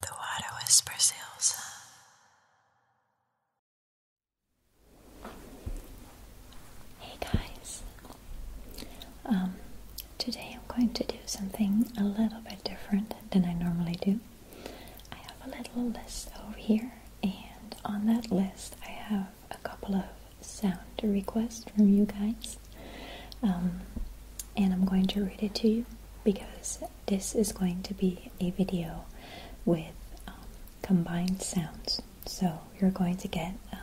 The water whispers Elsa. Hey guys, um, today I'm going to do something a little bit different than I normally do. I have a little list over here, and on that list, I have a couple of sound requests from you guys, um, and I'm going to read it to you because this is going to be a video with um, combined sounds. So you're going to get um,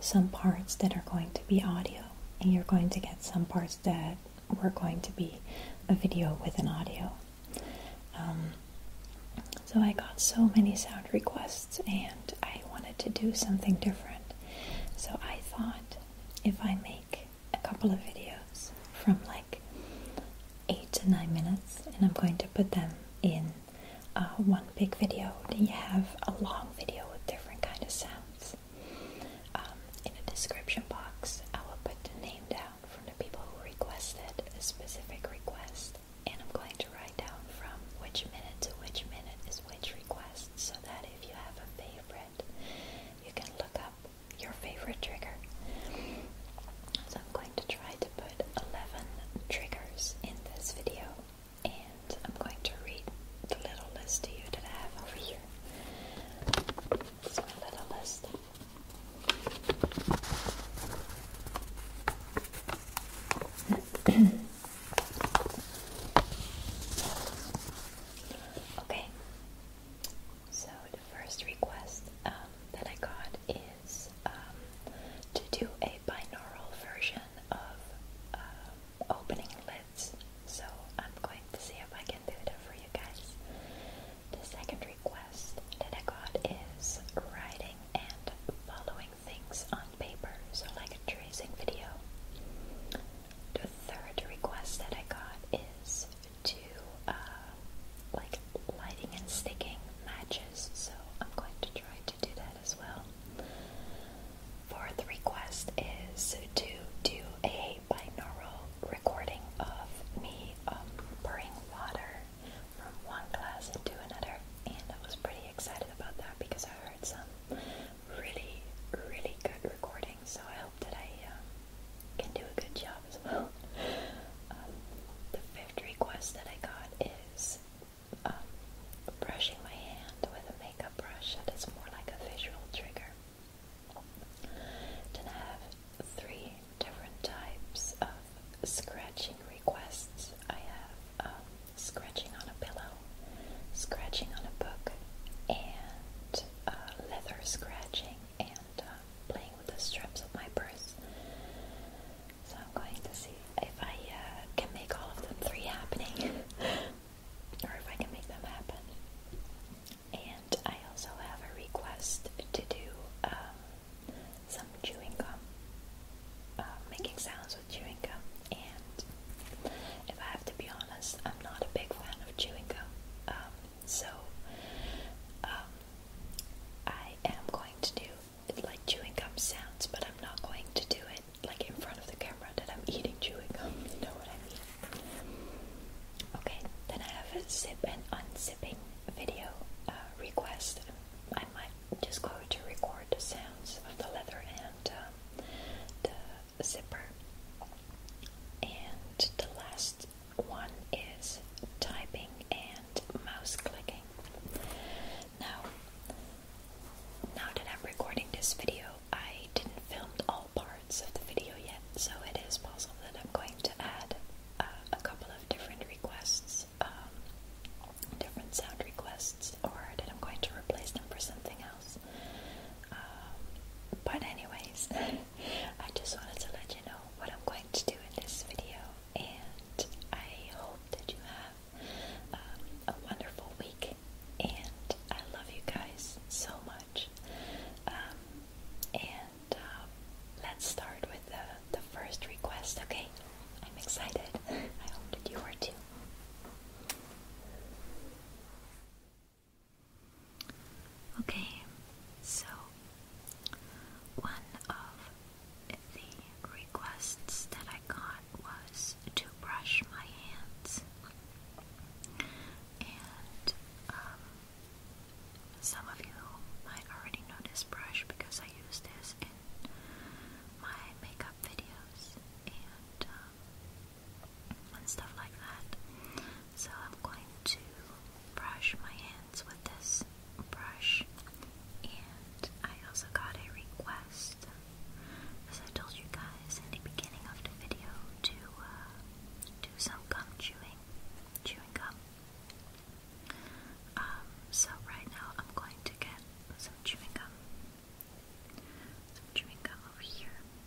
some parts that are going to be audio, and you're going to get some parts that were going to be a video with an audio. Um, so I got so many sound requests, and I wanted to do something different. So I thought if I make a couple of videos from like eight to nine minutes, and I'm going to put them in uh, one big video. Then you have a long video with different kind of sounds. Um, in the description box, I will put the name down from the people who requested a specific request, and I'm going to write down from which minute to which minute is which request, so that if you have a favorite, you can look up your favorite trigger. So I'm going to try to put 11 triggers in this video and I'm going to read the little list to you that I have over here. It's my little list. okay, so the first request um, that I got is um, to do a binaural version of uh, opening lids. So I'm going to see if I can do that for you guys. The second request that I got is writing and following things on paper, so like a tracing video. The third request that I got is to uh, like lighting and sticking matches, so I'm going to try to do that as well. Fourth request is to do a binaural recording of me um, pouring water from one glass into another, and I was pretty excited about that because I heard some really, really good recording so I hope that I uh, can do a good job as well. Um, the fifth request that I got is um, brushing my hand with a makeup brush that is more like a visual trigger. Then I have three different types of scratching requests. I have um, scratching on a pillow, scratching on a book, and uh, leather scratching and uh, playing with the straps of my purse. So I'm going to see if I uh, can make all of them three happening, or if I can make them happen. And I also have a request to do um, some chewing gum, uh, making sounds with chewing gum. And if I have to be honest, I'm not a big fan of chewing gum. Um, so, um, I am going to do like chewing gum sounds, but I'm not going to do it like in front of the camera that I'm eating chewing gum. You know what I mean? Okay, then I have a zip and unzipping video uh, request. I might just go to record the sounds of the leather and um, the zipper. And the last one is typing and mouse clicking. Now, now that I'm recording this video, I didn't film all parts of the video yet, so it is possible that I'm going to add uh, a couple of different requests, um, different sound requests, or that I'm going to replace them for something else. Um, but anyways, I just wanted to let you know what I'm going to do in this video, and I hope that you have um, a wonderful week. And I love you guys so much. Um, and um, let's start with the, the first request, okay? I'm excited. I hope that you are too. Okay, so one of the requests that I got was to brush my hands, and um, some of you might already know this brush because I use this in my makeup videos, um, and stuff like that. So I'm going to brush my hands with this brush. And I also got a request, as I told you guys in the beginning of the video, to uh, do some gum chewing, chewing gum. Um, so right now I'm going to get some chewing gum. Some chewing gum over here.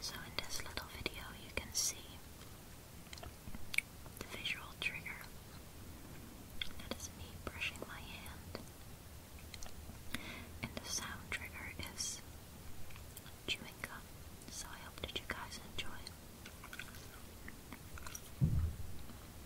So, in this little video, you can see the visual trigger that is me brushing my hand, and the sound trigger is chewing gum. So, I hope that you guys enjoy.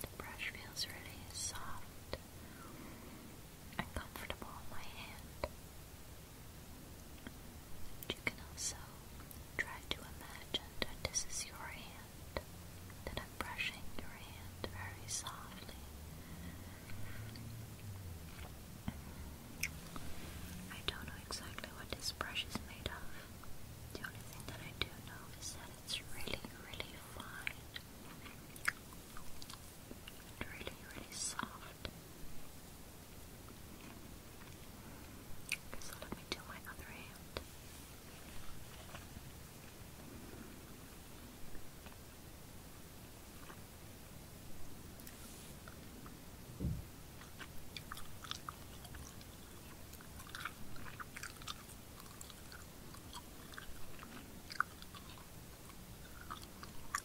The brush feels really soft and comfortable on my hand. You can also try to imagine that this is your hand, that I'm brushing your hand very softly. I don't know exactly what this brush is made of. The only thing that I do know is that it's really, really fine. And really, really soft. So let me do my other hand.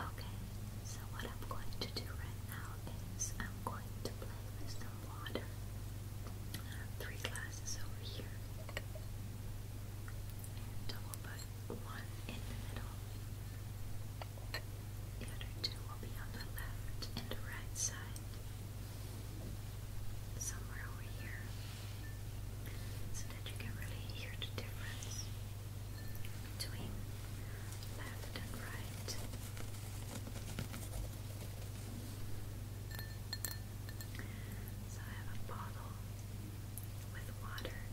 Okay, so what I'm going to do right now is I'm going to play some water. I have three glasses over here. And a one in the middle. The other two will be on the left and right side. Somewhere over here. So that you can really hear the difference between left and right. So I have a bottle with water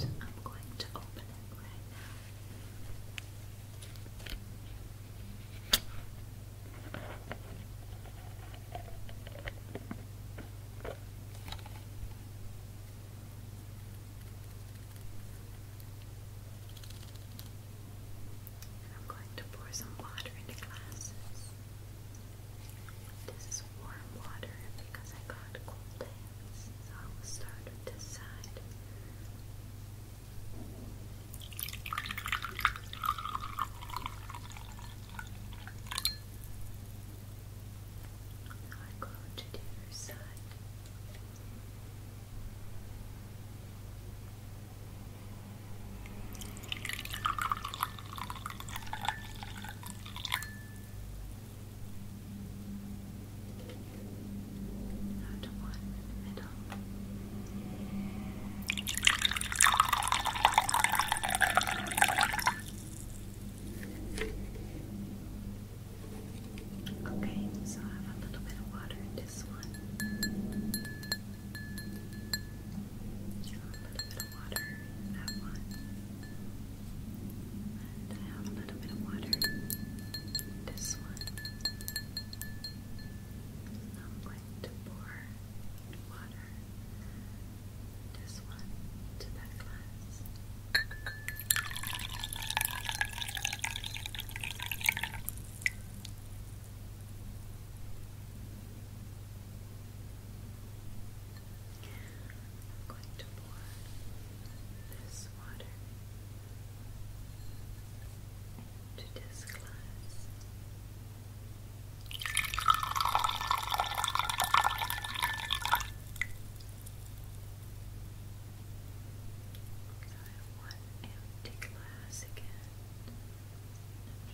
I'm going to open it right now. I'm going to pour some water into glasses. This is warm water because I got cold hands, so I will start with this side. I go to the other side. Not one in the middle. Okay, so I have a little bit of water in this one. A little bit of water in that one. And I have a little bit of water in this one. So I'm going to pour water this one to that glass. And I'm going to pour this water into this glass. One empty glass again.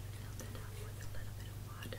I'm fill that up with a little bit of water.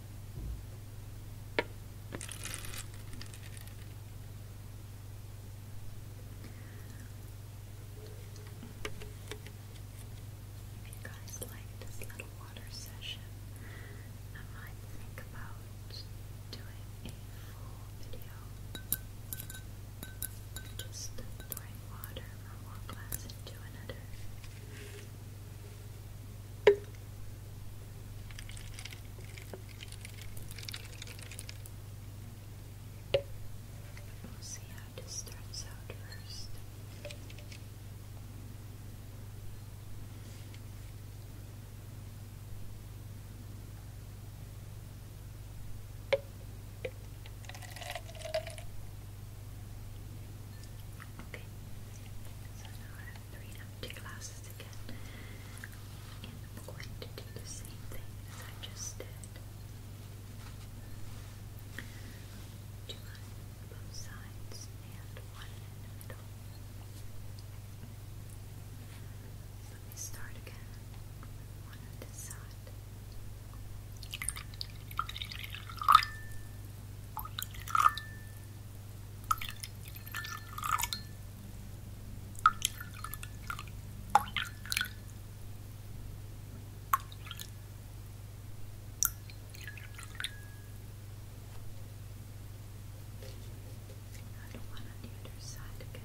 If you guys like this little water session, I might think about doing a full video. Just pouring water from one glass into another. We'll see how this starts out first. Okay, so now three empty glasses again. And I'm going to do the same thing as I just did. Two on both sides and one in the middle. Let me start again one on this side. The one on the other side again.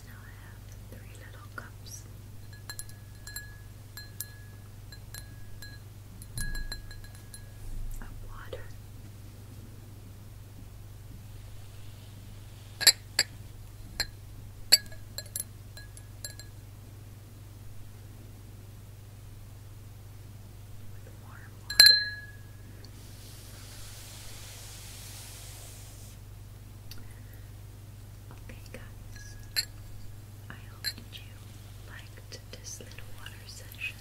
now I have three little cups. Of water. Okay, guys, I hope you liked this little water session.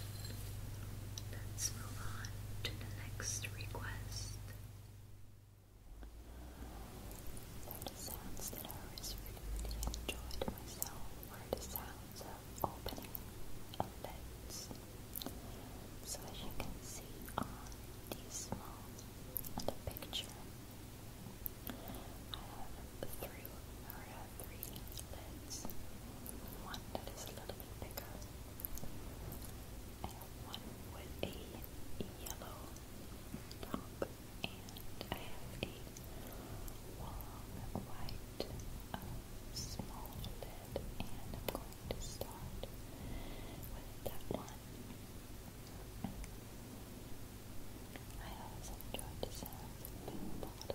Let's move on to the next request. The sounds that I really, enjoyed myself were the sounds of opening lids. So as you can see on Dismal and picture. I have three or three lids. One that is a little bit bigger. I one with a yellow top and I have a long white uh, small lid and I'm going to start with that one on. I always enjoyed the bottles.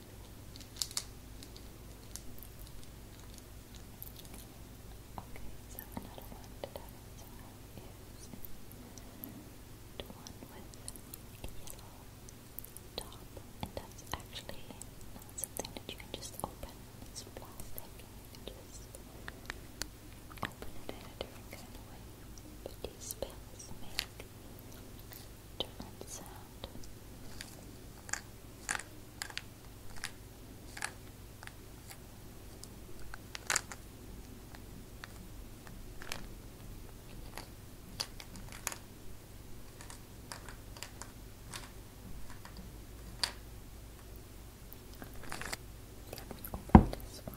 Okay, so another one that I also have is one with a yellow top, and that's actually not something that you just open. It's plastic, you just open it in a different kind But these pills different sound. Let me open this one.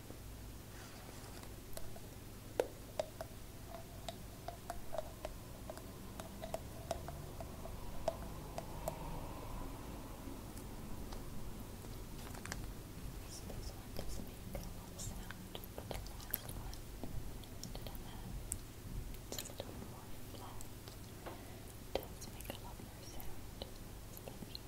So this one does make a sound, the last one, I a little more flat. It does make a lot sound.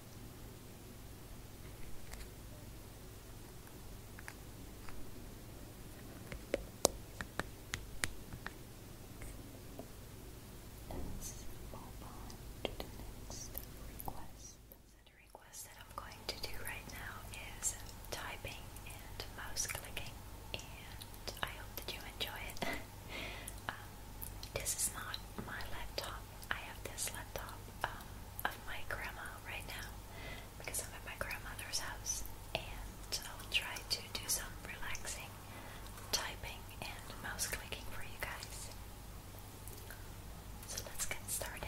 Let's to the next request. The request that I'm going to do right now is typing and mouse clicking, and I hope that you enjoy it. Um, this is not my laptop. I have this laptop um, of my grandma right now because I'm at my grandmother's house, and I'll try to do some relaxing typing and mouse clicking for you guys. So let's get started.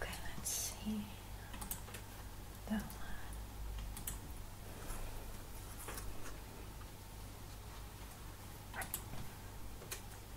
Okay, let's see that one.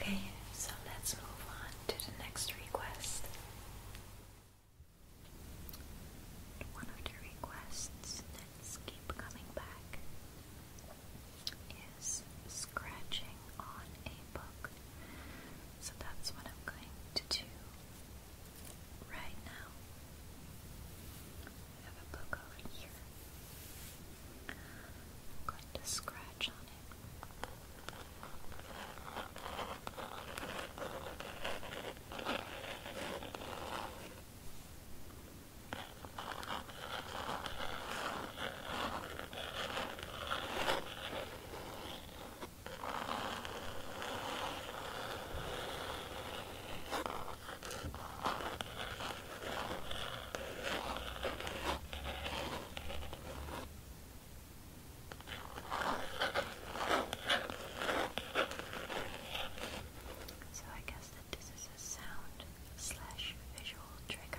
Okay, so let's move on to the next request. One of the requests that's keep coming back is scratching on a book. So that's what I'm going to do right now. I have a book over here. I'm going to scratch on it. So I guess that this is a sound slash visual trigger.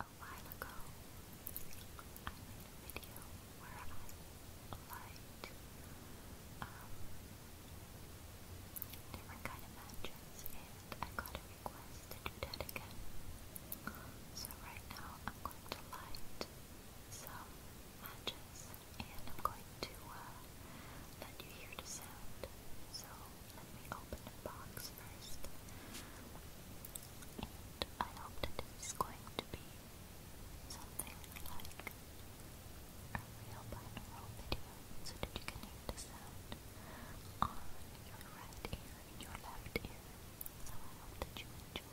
A while ago, I made a video where I liked um, different kind of matches and I got a request to do that again. So right now I'm going to light some matches and I'm going to uh, let you hear the sound. So let me open the box first, and I hope that this going to be something like a real binaural so that you can hear the sound on your right ear and your left ear. So I hope that you enjoy.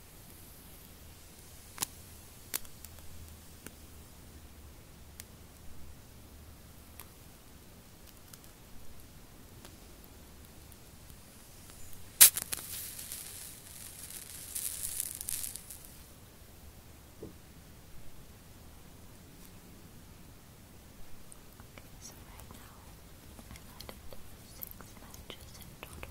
Okay, so right now I've added six matches in total.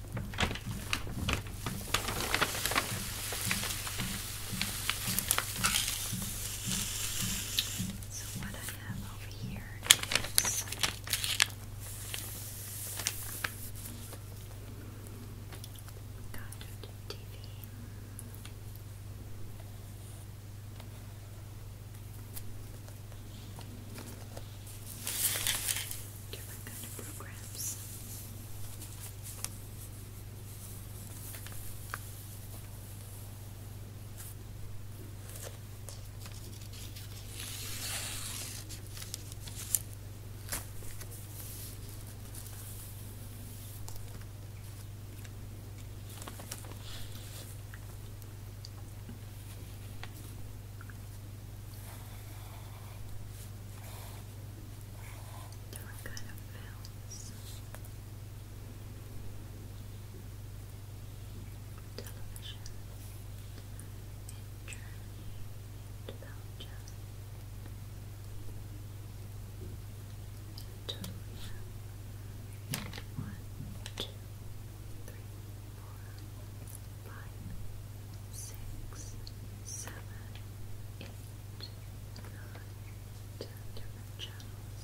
So, what I have over here is Goddard TV different kind of programs. Different kind of films. Television in Germany and and Italy. One, two, three, three, four, five, six, seven, eight, nine, ten different channels.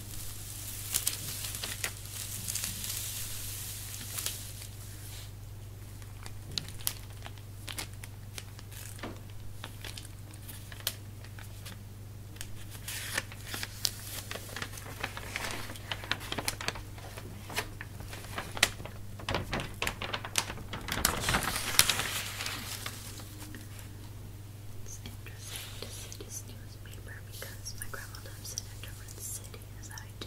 It's interesting to see this paper because my grandma lives in a different city as I do.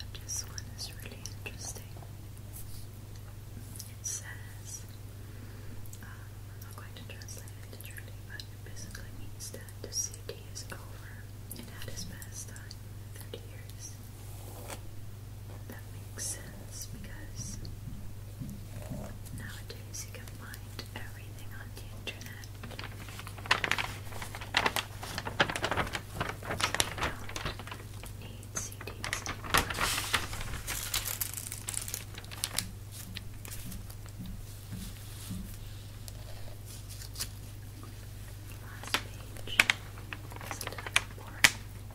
And this one is really interesting. It says, um, I'm not going to translate it literally, but it basically means that the city is over. It had its best time in 30 years. That makes sense because nowadays you can find everything on the internet. So need CDs Last page is a little over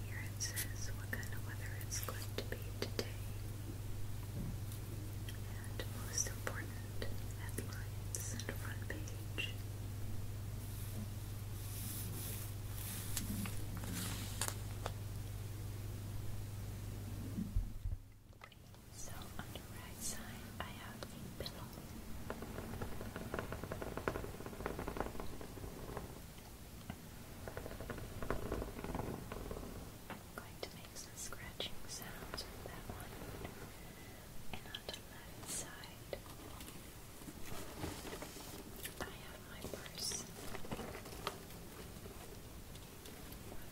here it says what kind of weather it's going to happy today. And most important, headlines and front page. So on the right side, I have the pillow. I'm going to make some scratching sounds with that one. And on the left side, I have my purse with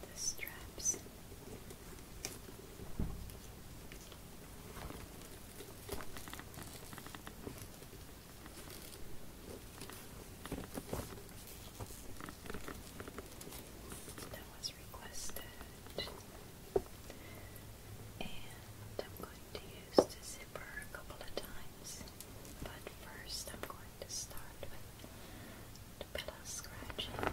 the straps. That was requested, and I'm going to use the zipper a couple of times. But first, I'm going to start with the pillow scratching.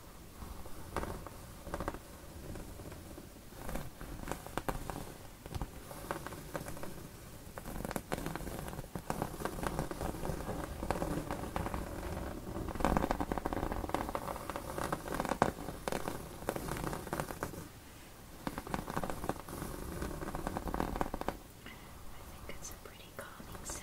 I think it's a pretty calming sound.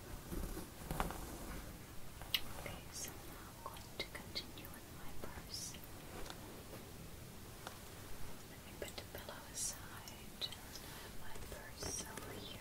Okay, so now I'm going to continue with my purse. Let me put the pillow aside and have my purse over here.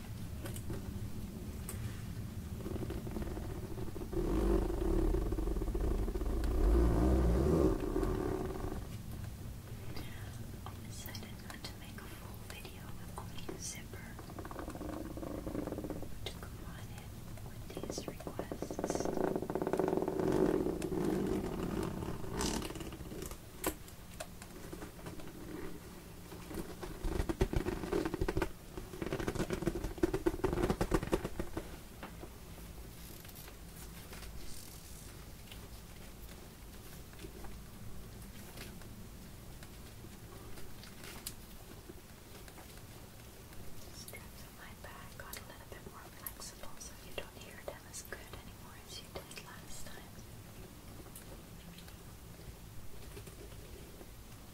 I decided not to make a full video with only a zipper to combine it with these requests. Straps on my back got a little bit more flexible so you don't hear them as good anymore as you did last time.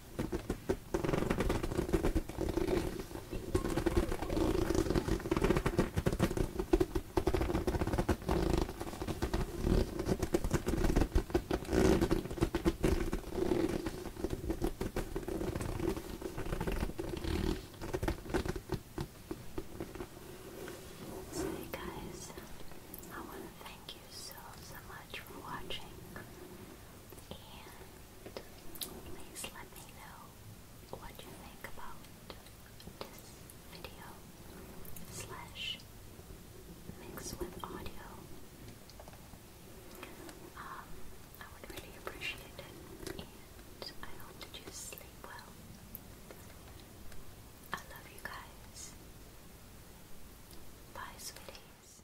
hey guys, I want to thank you so so much for watching. And please let me know what you think about this video slash mix with audio. Um, I would really appreciate it, and I hope that you sleep well. I love you guys. Bye, sweeties.